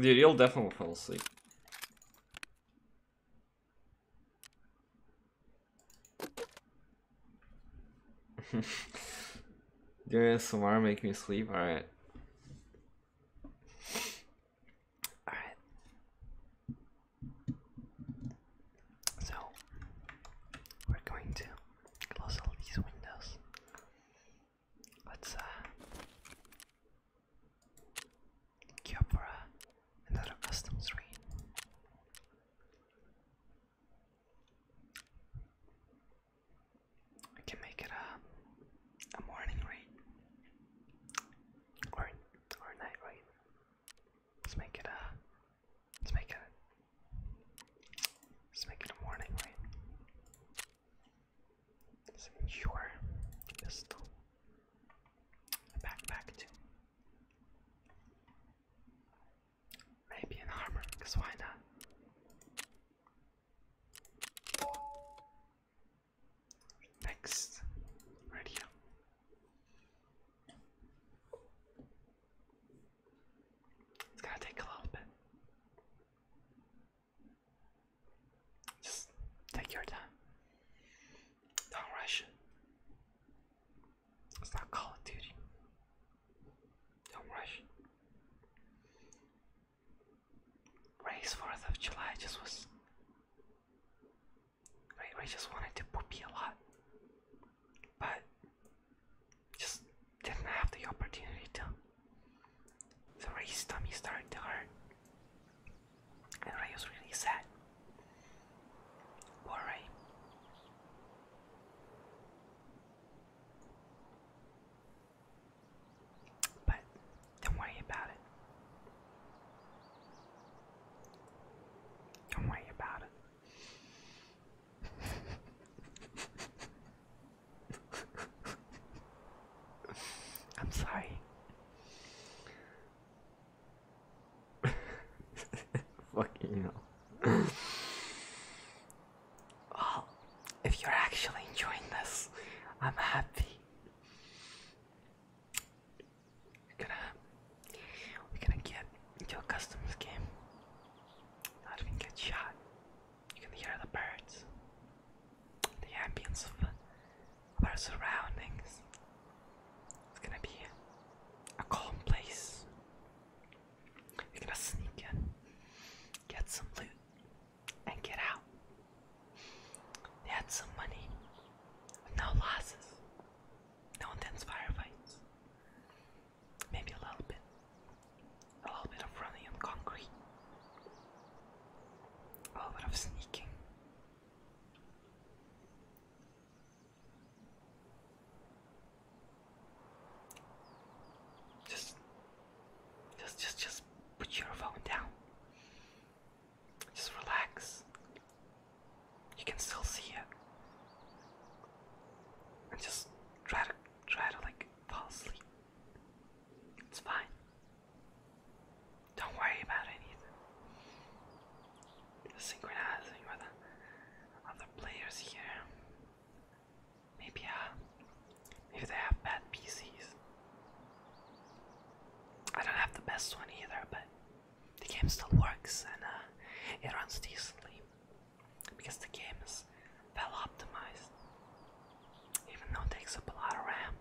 Dude, you'll definitely fall asleep. Doing alarm make me sleep? Alright. So, we're going to close all these windows Let's uh queue for uh, another custom screen. I can make it a, a morning raid or or night raid. Let's make it a let's make it let's make it a morning raid. Sure. Pistol. backpack too. Maybe an armor, because why not? Next, right It's gonna take a little bit. Just take your time. Don't rush It's not Call Duty. Don't rush. Ray's 4th of July just was. Ray, just wanted to poopy a lot. But just didn't have the opportunity to. So Ray's tummy started to hurt, and Ray was really sad. Poor But don't worry about it. Don't worry about it. I'm sorry. Fucking hell. Well, if you're actually enjoying this, I'm happy. We're gonna, we're gonna get into customs game. Not even get shot. You can hear the birds, the ambience of, our surroundings. It's gonna be a calm place. You're gonna sneak in, get some loot, and get out. They had some money, no losses, no intense firefights. Maybe a little bit, a little bit of running on concrete. A lot of sneaking. Just, just, just, just put your phone down. Just relax. You can still see it, and just try to, try to like fall asleep. It's fine. Don't worry about anything. synchronizing with other players here. Maybe uh, maybe they have bad PCs. I don't have the best one either, but the game still works and uh, it runs decently because the game is well optimized. Even though it takes up a lot of RAM,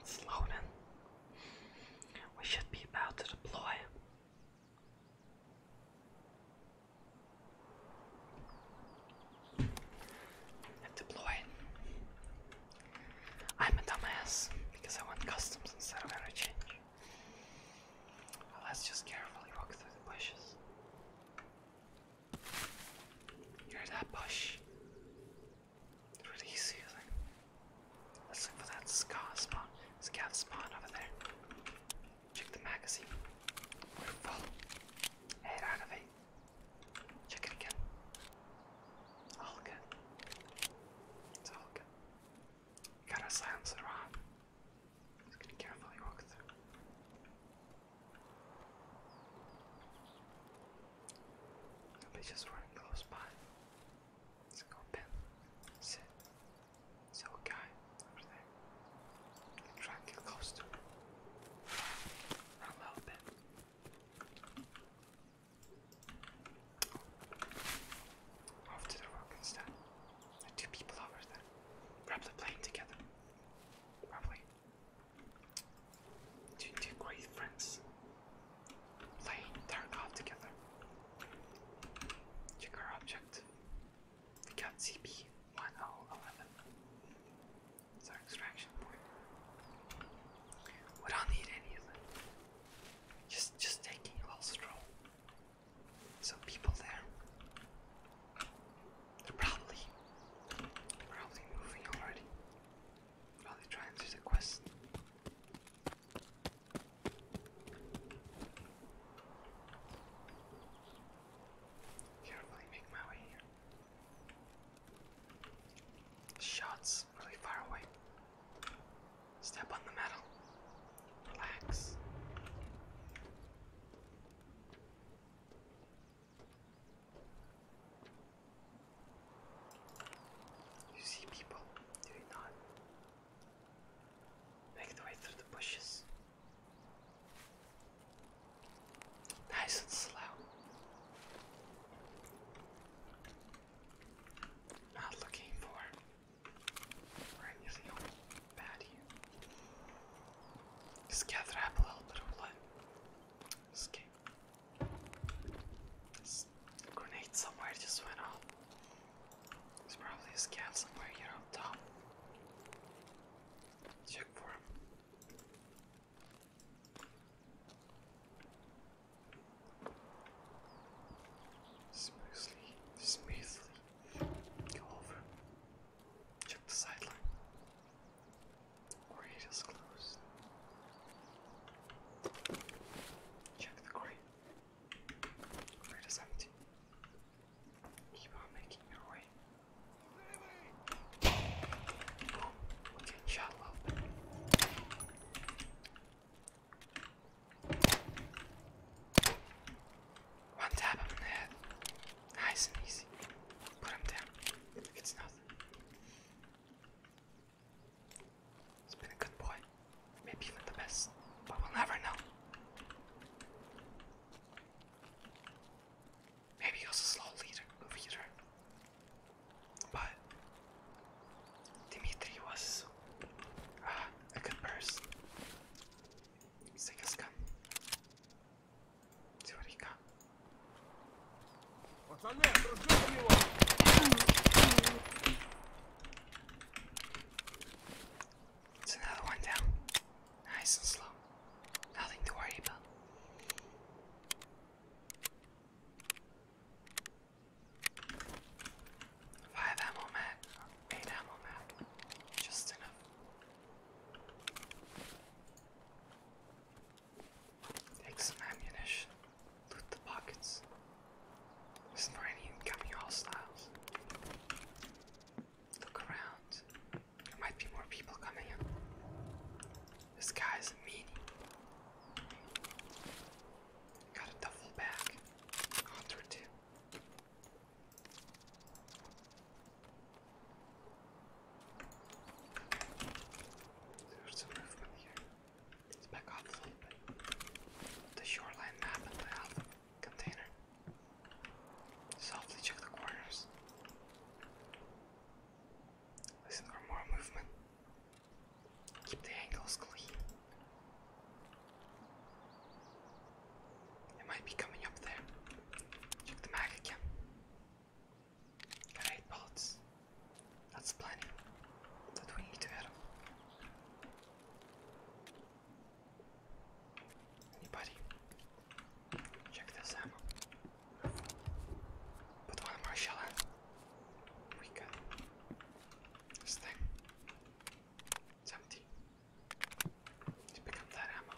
it's loading. We should be about to deploy. And I'm a dumbass because I want customs instead of interchange. Let's just carefully walk through the bushes. Hear that bush? Really soothing. Let's look for that scar spawn, scout spawn over there. Check the magazine. We're full. Check again. All It's all Got a silencer on. Just gonna carefully walk through. Nobody's just running close by. Let's go pin. Sit. So guy over there. I'm close to him. A little bit. Off the rock instead. There are two people over there. Grab the together. Probably. Two, two great friends. Plane, turn off together. Check our object. We got CP1011. It's our extraction point. We don't need any of them. Just just taking a little stroll some people there. They're probably, probably moving already. Probably trying to do the quest. Carefully make my way here. Shots really far away. Step on the metal. Relax. You see people, do you not? Make the way through the bushes. Nice and slow. Not looking for Right, you see how bad Just gather up a little bit of blood. Okay. This grenade somewhere just went off. There's probably a scan somewhere here up top. Check for him smoothly, smoothly go over. Check the sideline. Grate closed. Check the grate. Grate empty. Keep on making your way. Boom! We're one tap in the head. Nice and easy. Put him down. It's nothing. He's been a good boy. Maybe even the best. But we'll never know. Maybe he was a slow leader, leader. But Dimitri was burst. Ah, I could burst. Sick as come. See what he got. It's another one down. Nice and slow. Nothing to worry about. Five ammo mat, eight ammo mat, just enough. Take some ammunition, loot the pockets. This is for any incoming hostiles. Look around. There might be more people coming in. This guy's a meanie. Got a duffel bag. Hunter too. Let's back off a little bit. The shoreline map and the health container. Softly check the corners. Listen for more movement. Keep the angles clean. It might be coming up there. Check the mag again. eight bullets. That's plenty. That we need to hit him. Check this ammo. Put one more shell We got this thing pick up that ammo.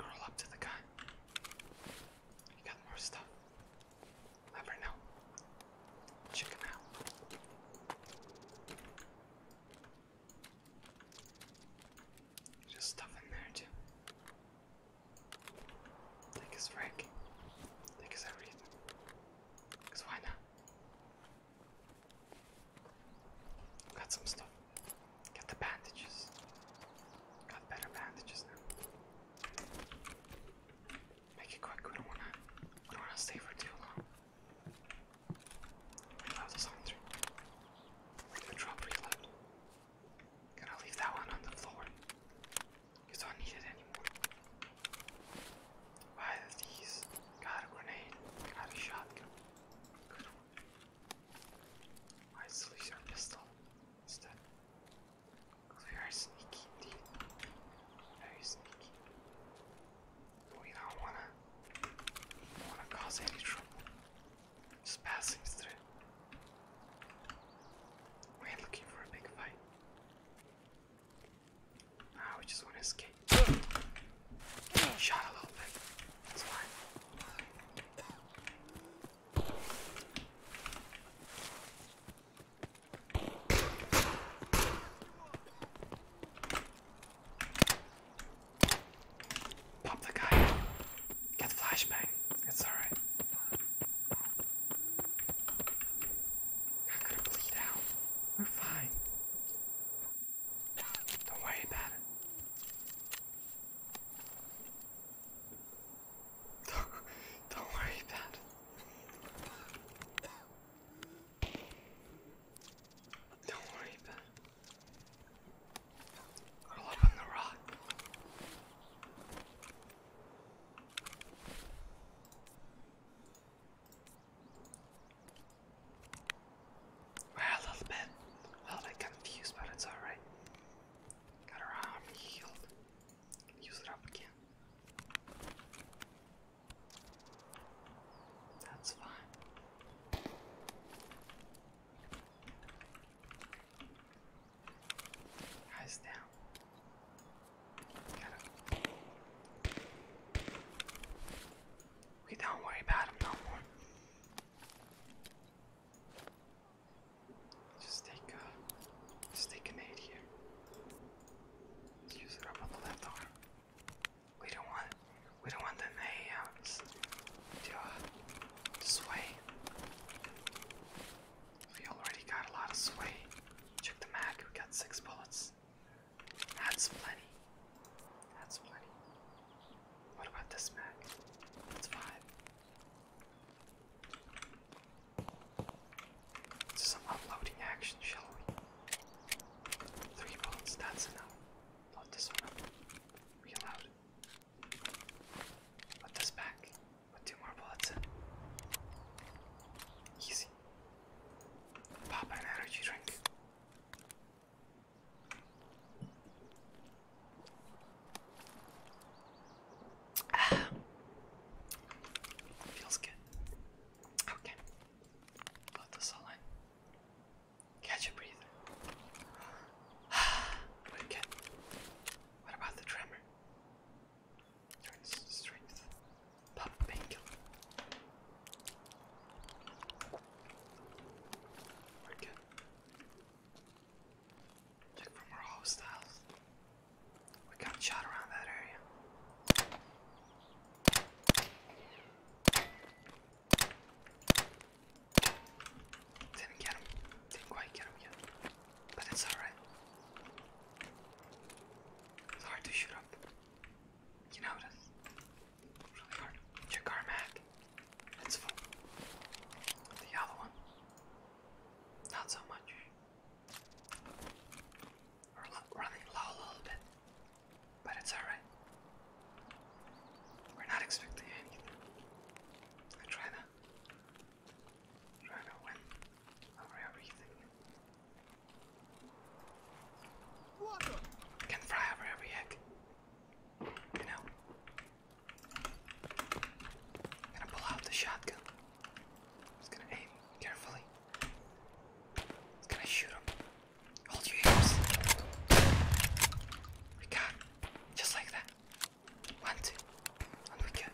Roll up to the guy. You got more stuff. Never know. Check him out. Just stuff in there too. Take his Frank. Take his everything. Cause why not? Got some stuff. Get the bandages. Got better bandages now. Make it quick. We don't wanna. We don't wanna stay for too long. Reload this gonna drop reload. Gonna leave that one on the floor. I not needed anymore. Why these? Got a grenade. Got a shotgun. Why is pistol instead? we are sneaky indeed. Very sneaky. We don't wanna do wanna cause any trouble. Just passing through. We ain't looking for a big fight. Now ah, we just want to escape. Shot a little bit. That's fine. Pop the guy. Get flashbang. It's alright. Not gonna bleed out. We're fine. Don't worry about it. Don't, don't worry about it. Don't worry about it. Curl up on the rock. Ah, a little bit, a little bit confused, but it's alright. Got her arm healed. use it up again. That's fine. Eyes down. We don't worry about him no more. Just take uh, just take an aid here. use it up on the left arm. We don't want, we don't want the nails to, uh, to sway. We already got a lot of sway. Check the mag, we got six bullets. That's plenty. That's plenty. What about this mag? That's 5 some uploading action, shall we? Three bullets, that's enough. Load this one Reload. Put this back two more bullets Easy. Pop an energy drink. Ah. Feels good. Okay. Let this all in. Catch your breath. Wicked. What about the tremor? Strength, pop painkiller. We're Check for more hostiles. We got shot around that area. Didn't get him. quite get but it's alright. It's hard to shoot up. You know it is. Really hard. Check our map. It's full. The other one. Not so much. We're running low a little bit. But it's alright. We're not expecting anything. I try to try to win over everything. Can fly over every egg. You know. I'm gonna pull out the shotgun. Just gonna aim carefully. It's gonna shoot him. Hold your ears. We got just like that. One, two, and we kill.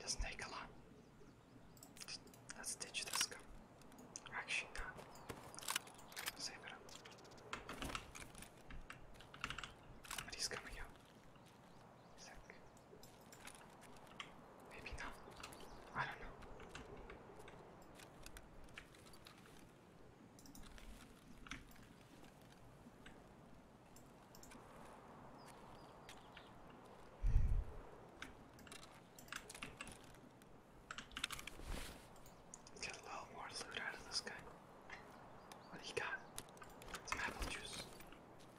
Doesn't take a lot. Let's ditch this guy. Actually, not. Save it up. But he's out. Maybe not. I don't know. get a little more loot out of this guy. What do got? Some apple juice.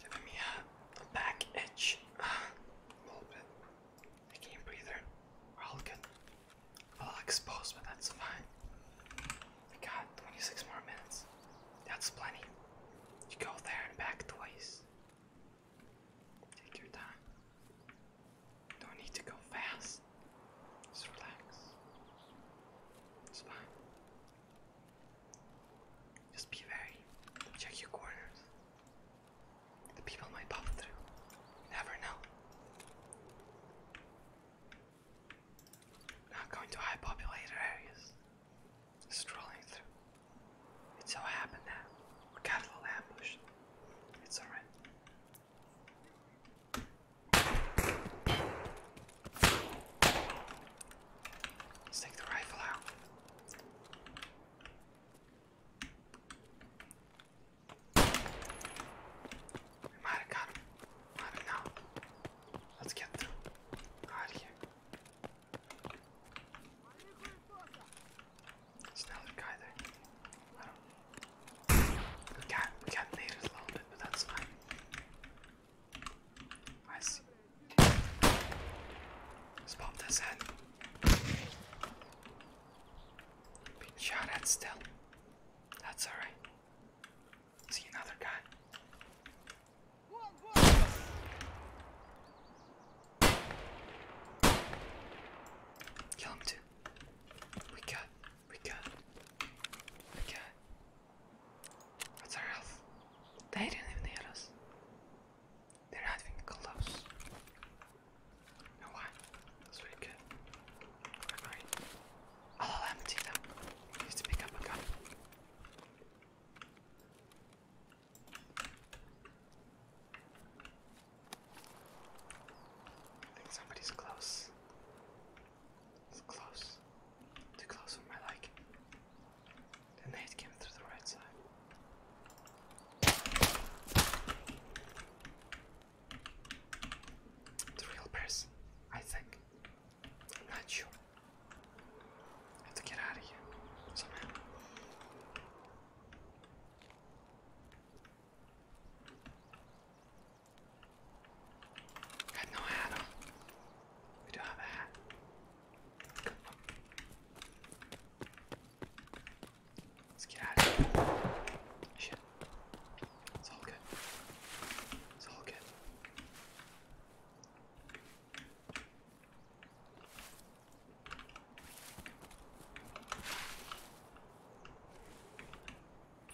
giving me a, back itch a little bit. can't breathe. We're all good. A little exposed, but that's fine. We got 26 more minutes. That's plenty. You go there and back twice. Take your time. Don't need to go fast. Just relax. It's fine. Just be wary. Check your corners. The people might pop through. never know. Not going to high populated areas. Strolling through. It so happened that we got a little ambush. It's alright. Let's take the rifle out. We might have got I don't Let's get Out of here. another guy there. We got we got natives a little bit, but that's fine. I see. Let's pop this in. Being shot at still. That's alright. See another guy. Kill him too. We got, we got, we got. What's our health? They didn't even hit us. They're not even close. You know why? That's really Alright. I'll empty them. I need to pick up a gun. I think somebody's close. It's close. Too close for my liking. The nade came through the right side. The real person, I think. I'm not sure. have to get out of here somehow. I no hat We do have a hat. Let's get out of here. It's all good. It's all good.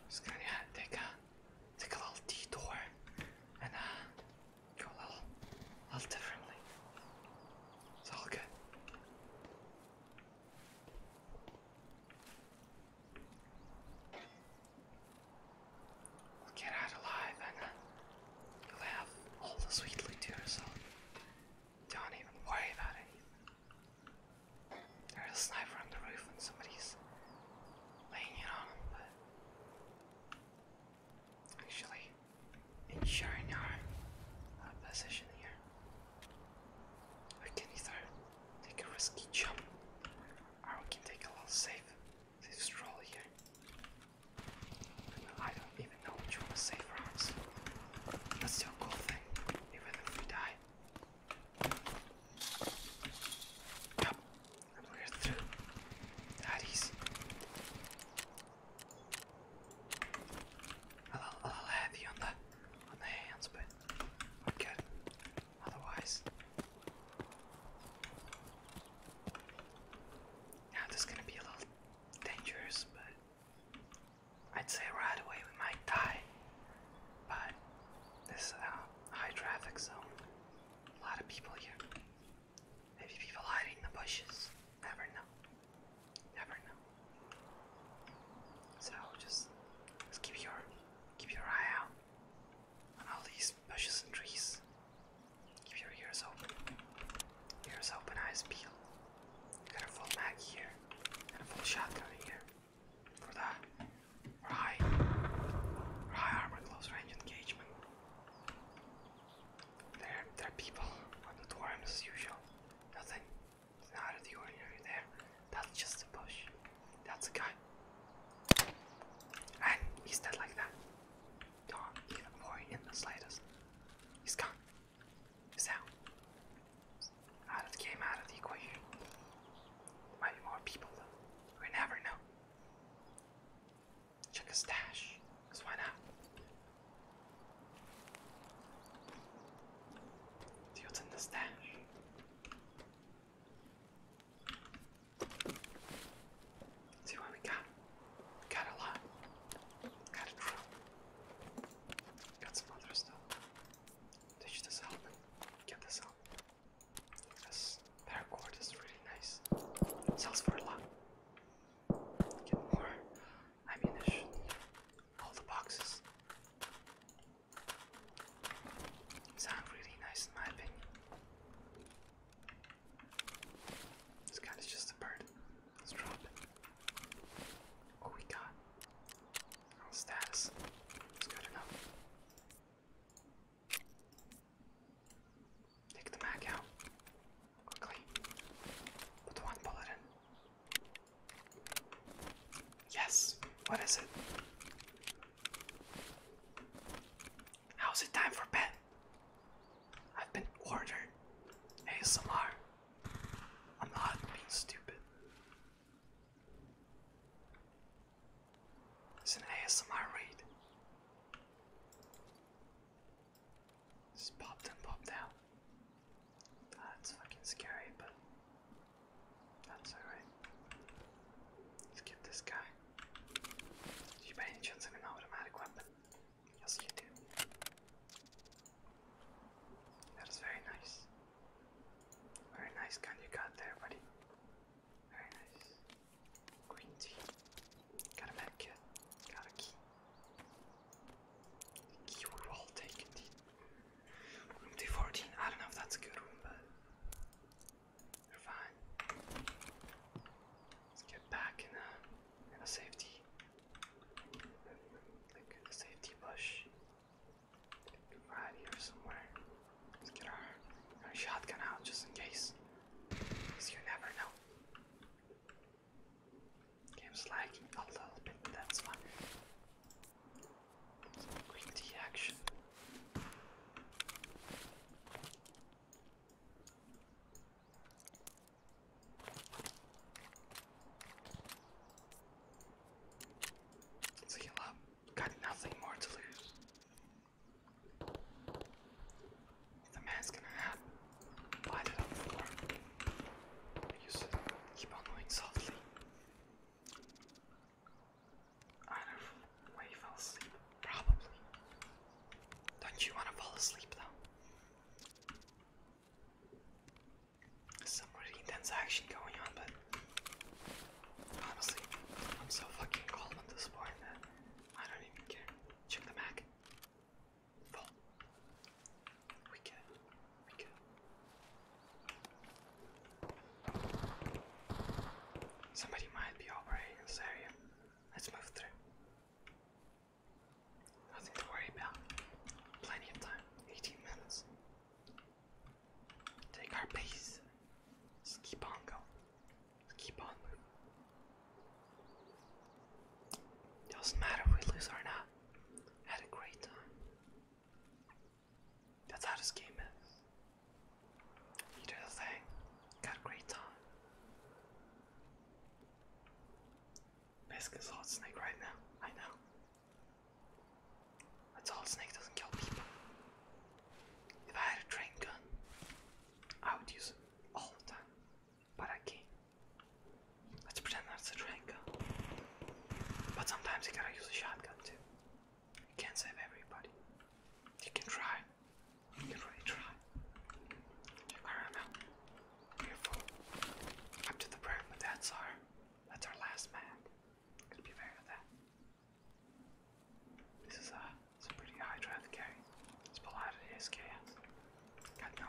Just gonna take a take a little detour and uh Cool, I'll, I'll definitely. It's all good. get out alive and you'll have all the sweet loot to yourself. Don't even worry about anything. There's a sniper on the roof and somebody's laying it on but. Actually, ensuring our uh, position here. We can either take a risky jump or we can take a little safe, stroll here. I don't even know which one is safe for us. cool thing, even if we die. Yep, and we're through. That easy. A little, heavy on the on the hands, but i Otherwise, now this is gonna be a little dangerous, but I'd say right away we might die. But this is a high traffic zone, a lot of people here. Maybe people hiding in the bushes. Never know. Never know. So just, just keep your keep your eye out on all these bushes and trees. Keep your ears open. Ears open, eyes peeled. Got a full mag here and a full shotgun here. For that, for high, for high armor, close range engagement. They're, they're people, not worms as usual. Nothing out of the ordinary there. That's just a bush. That's a guy. And he's dead like that. even worry in the slightest. He's gone. He's out. Out of the game, out of the equation. There more people We never know. Check his stash, because why not? See what's in the stash. See what we got. got a lot. Got a drill. Got some other stuff. Ditch this helmet. Get this helmet. This paracord is really nice. sells for a lot. Get more ammunition. All the boxes. Sound really nice in my opinion. This guy is just a bird. Let's drop it. What we got? status. It's good enough. Take the mag out quickly. Put one bullet in. Yes. What is it? How's it time for bed? I've been ordered. ASMR. I'm not being stupid. It's an ASMR read. Just popped and popped out. That's fucking scary, but that's alright. Let's get this guy. Do you by any chance have an automatic weapon? Yes, you do. That is very nice. Very nice gun you there, buddy. Very nice. Green tea. Got a med Got a key. You will all take it. Room 214, I don't know if that's a good room, but they're fine. Let's get back in a, safety. Like a safety bush. Right here somewhere. Let's get our, shotgun out just in case. you never know. Game's lagging a little bit, that's why. quick D action. let Got nothing more to lose the man's gonna have light it up for I used keep on going softly. I know where he fell asleep, probably. Don't you wanna fall asleep though? some really intense action going on, but honestly, I'm so fucking calm at this I don't even care. Check the Mac. We can. We can. Somebody might be operating this area. Let's move through. Nothing to worry about. Plenty of time. 18 minutes. Take our pace. Just keep on going. keep on moving. It Doesn't matter if we lose or not. had a great time. That's how this game is. You do the thing, got a great time. Basically, it's Hot Snake right now. I know. That's all Snake doesn't kill people. If I had a train gun, I would use it all the time para qué? Let's pretend that's a triangle. But sometimes you gotta use a shotgun too. You can't save everybody. You can try. You really try. Check now. Beautiful. Up to the brim, but that's our that's our last map. Gonna be aware of that. This is a it's a pretty high draft carry. It's below it is chaos. Got no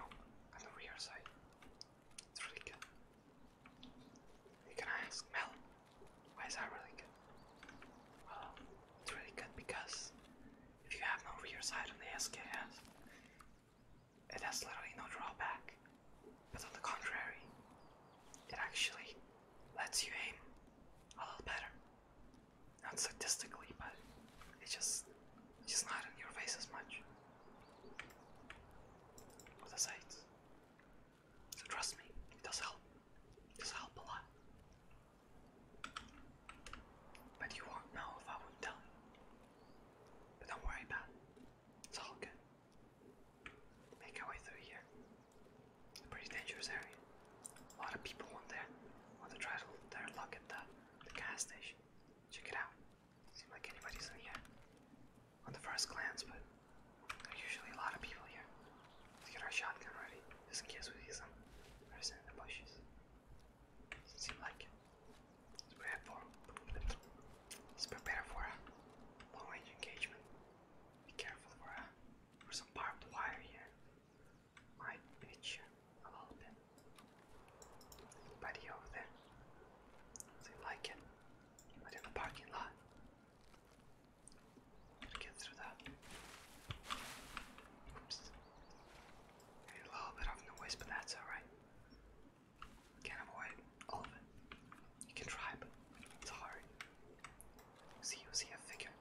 got no rear sight. It's really good. You can ask Mel, why is that really good? Well, it's really good because if you have no rear sight on the SKS, it has literally no drawback. But on the contrary, it actually lets you aim a little better. Not statistically, but it just He's not in your face as much. With the sides. So trust me, it does help. does help a lot. But you won't know if I will tell you. But don't worry about it. It's all good. Make our way through here. pretty dangerous area. A lot of people want there. Want to try to, their at the, the gas station. Check it out. Seem like anybody's in here on the first glance, but there's usually a lot of people here. Let's get our shotgun ready, just in case we see some person in the bushes. Doesn't seem like it. Let's prepare for, let's prepare for a long-range engagement. Be careful for, uh, some barbed wire here. Might pinch you a little bit. Buddy over there. They like it. But in the parking lot. Get through that. Oops. a little bit of noise, but that's alright. Can't avoid all of it. You can try, but it's hard. See, see a figure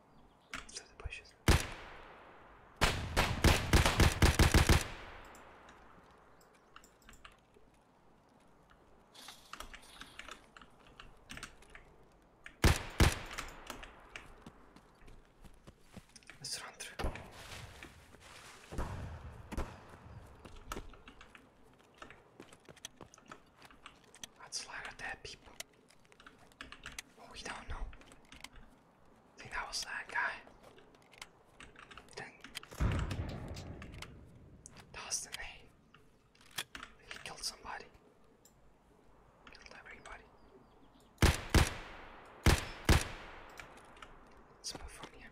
through the bushes. Let's run through. Let's slide at that people. Oh, we don't know. I think that was that guy. Didn't. That killed somebody. Killed everybody. let from here.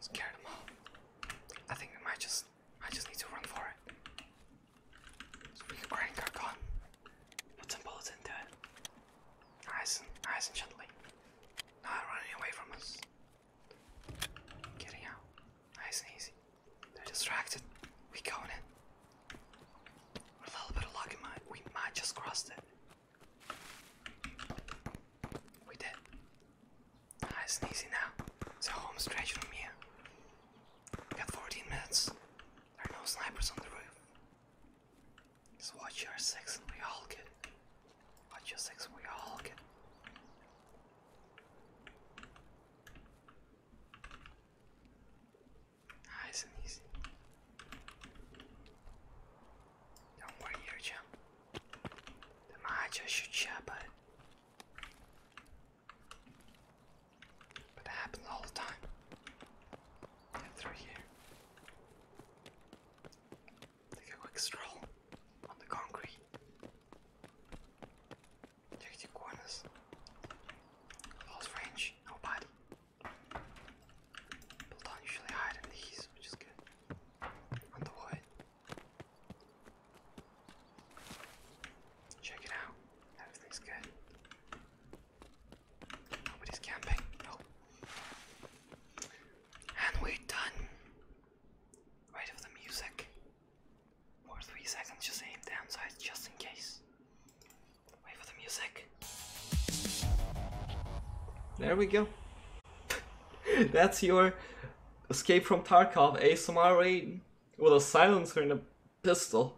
Scare them all. I think we might just I just need to run for it. Speak brain got gone. Put some bullets into it. Nice and nice and gently. Not running away from us. Getting out. Nice and easy. They're distracted. We going in. With a little bit of luck we might just cross it. We did. Nice and easy now. So home stretch from here. We got 14 minutes. There are no snipers on the roof. Just watch your six and we all get it. Watch your six and we all get ah, it. easy. Don't worry here, champ. The match should share, but but that happens all the time. Get through here. Take a quick stroll on the concrete. Check the corners. Close range, nobody. People don't usually hide in these, which is good. On the wood. Check it out. Everything's good. Nobody's camping. No. And we're done. Right of the music. For three seconds, just aim down sides just in case. Wait for the music. There we go. That's your escape from Tarkov ASMR raid with a silencer and a pistol.